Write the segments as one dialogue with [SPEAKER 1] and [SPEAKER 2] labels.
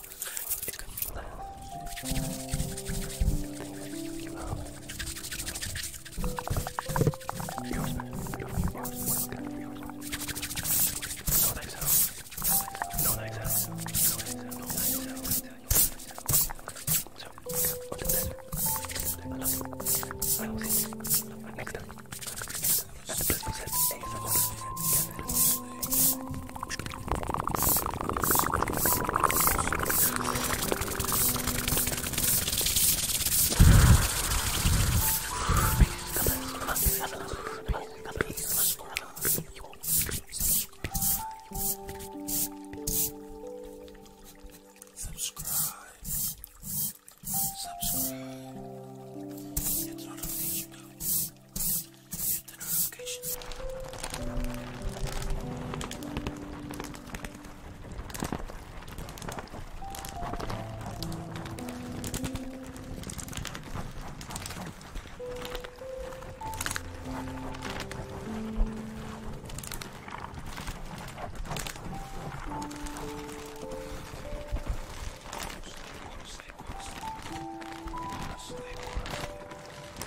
[SPEAKER 1] It's gonna be loud. You out. Yours, yours, yours, yours. No legs out. No legs out. No legs out. No legs out. So, what is that? I love you. I will see you next time. And the blessing said, ASMR. Subscribe. Subscribe. It's not a thing you know. hit the notifications. Stay, stay, stay, stay.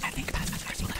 [SPEAKER 1] I think that's the first one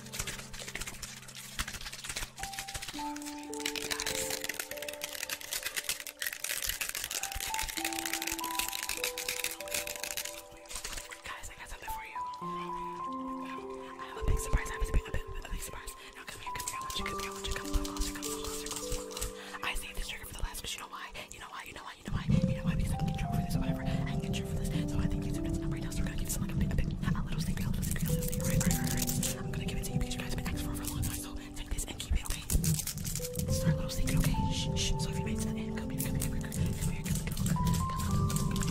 [SPEAKER 1] Guys, I got something for you. I have a big surprise. I have a big, a big, a big surprise. Now come here, come here. I want you, come here. I want you, come closer, come closer, come closer. I saved this trigger for the last because you know why? You know why? You know why? You know why? You know why? Because I can get you for this or whatever. I can get you for this. So I think YouTube's number right now, so we're gonna give someone a big, a, big, a little secret, a little secret, a little secret. Alright, alright, alright, alright. I'm gonna give it to you because you guys have been asking for it for a long time, so take this and keep it, okay? This is our little secret, okay? Shh, shh. So if you made it to the end, come here, come here, come here, come here, come here, come here, come here, come here,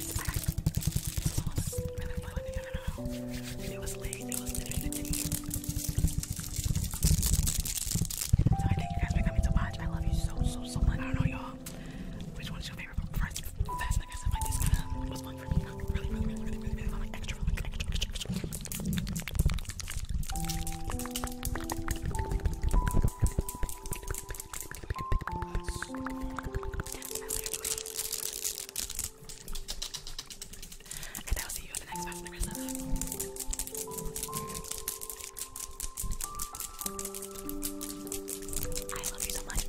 [SPEAKER 1] guys, I lost where the fuck I don't know. And it was late, it was literally 15. So I thank you guys for coming to watch. I love you so, so, so much. I don't know, y'all. Which one's your favorite? First, best, like I said, like this kind of was fun for me. Really, really, really, really, really, really, like extra, like extra, extra, extra. I And I'll see you in the next one. The rest of I love you so much.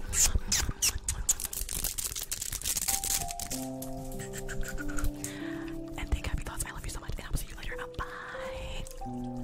[SPEAKER 1] and think happy thoughts. I love you so much. And I will see you later. Uh, bye.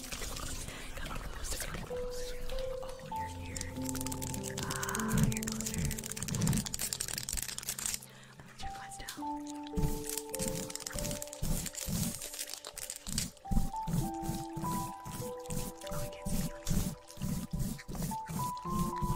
[SPEAKER 1] Come closer, come closer. Oh, you're here. Ah, you're closer. Let me turn lights down. Oh, I can't see you. Oh,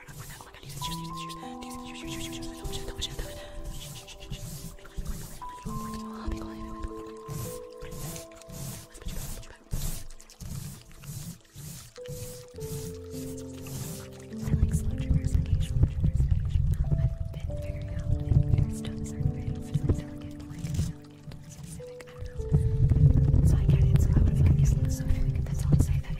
[SPEAKER 1] right now, right now. Oh my god, these shoes, these shoes, these shoes, shoes, shoes, shoes, shoes. Don't shut, don't shut, don't shut. Shh, shh, shh, shh. Be quiet, be quiet, be quiet, be quiet. Be quiet, be quiet. Let's put you back, let's put you back. I like slow triggers, okay, slow triggers, okay. I've been figuring out if there's tones are very like delicate, like delicate, specific, I don't know. So I get it, so I would have gotten used to this, so I think that's all to say that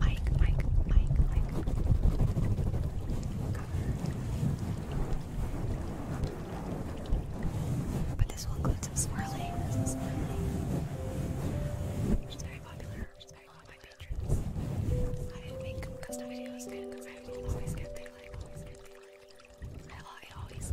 [SPEAKER 1] Ike, Ike, Ike, Ike. But this will include some swirly. Some very popular. Which very popular by patrons. I didn't make custom videos because I always get they like, always get they like. I, I always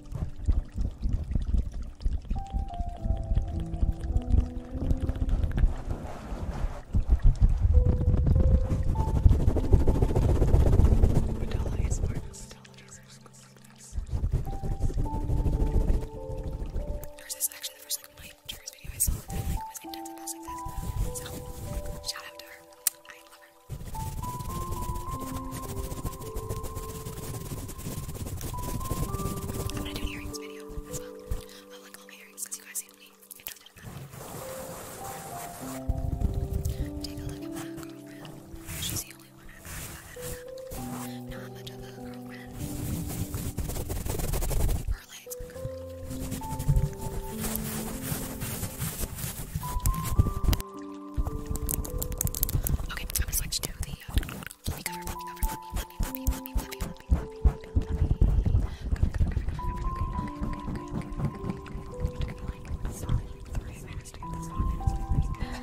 [SPEAKER 1] There's this actually the first like Mike Drews video I saw that like was intense about success. So shout out to her. I love her. I'm gonna do earrings video as well. I'll earrings because you guys seem interested in that. Take a look at my girlfriend. She's the only one I've ever Not much of a girlfriend. Her legs Okay, I'm gonna switch to the fluffy cover, fluffy cover, fluffy, fluffy, fluffy, fluffy, fluffy, fluffy, fluffy, fluffy, cover, cover, cover, cover, okay, okay, okay, okay, okay, okay, okay, took me like solid three minutes to get this on, and it's like, love that.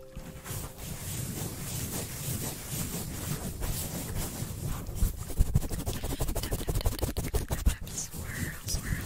[SPEAKER 1] Swirl, swirl. Swirl.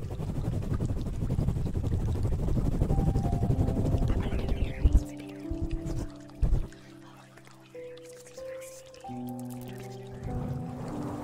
[SPEAKER 1] I'm gonna do an earrings video as well. Oh, earrings because you guys see earrings. Now I'm gonna go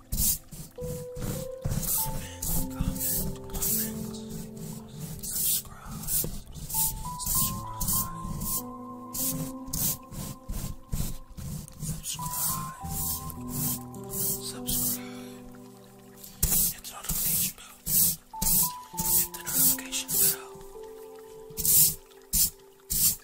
[SPEAKER 1] subscribe, subscribe, subscribe, hit the notification bell, hit the notification bell.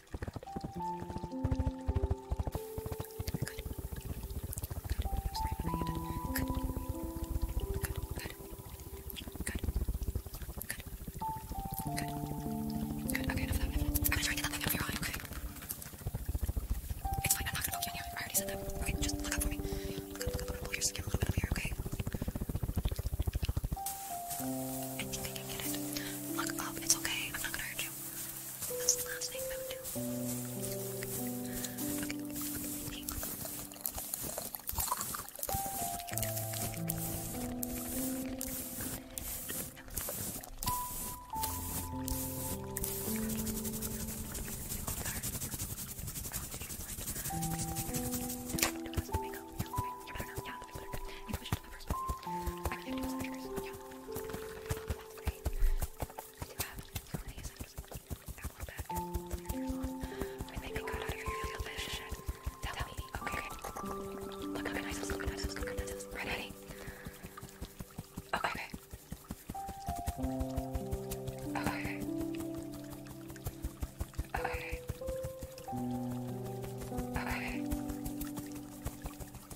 [SPEAKER 1] Good. Okay, enough I'm gonna try to get that thing out of your eye, okay? It's fine, I'm not gonna poke you in I already said that. Okay, just look up for me. Look up, look up, Pull your skin a little bit up here, okay? I think I can get it. Look up, it's okay. I'm not gonna hurt you. That's the last thing I would do. Okay. Good. You better know. Yeah, that's better. Good on the Tell, me. Okay. Look how nice this look Look Ready? Okay. Okay. Okay. Okay.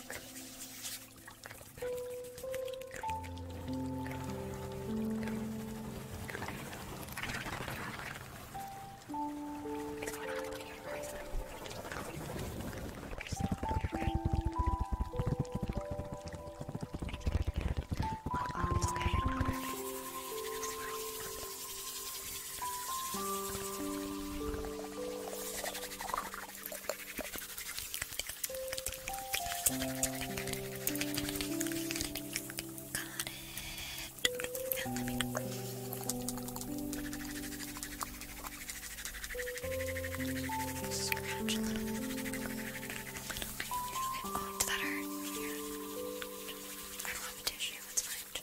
[SPEAKER 1] Well, um, okay it. And let me scratch a little, bit. Okay, okay. Oh, does that hurt? Here. I don't have a tissue. It's fine.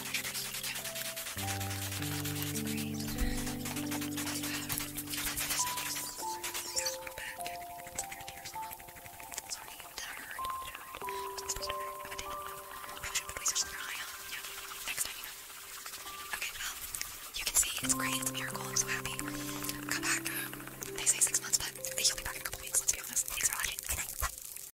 [SPEAKER 1] That's you Okay, well, you can see it's great. It's a miracle. I'm so happy. Come back. They say six months, but you'll be back in a couple weeks. Let's be honest. Thanks for watching.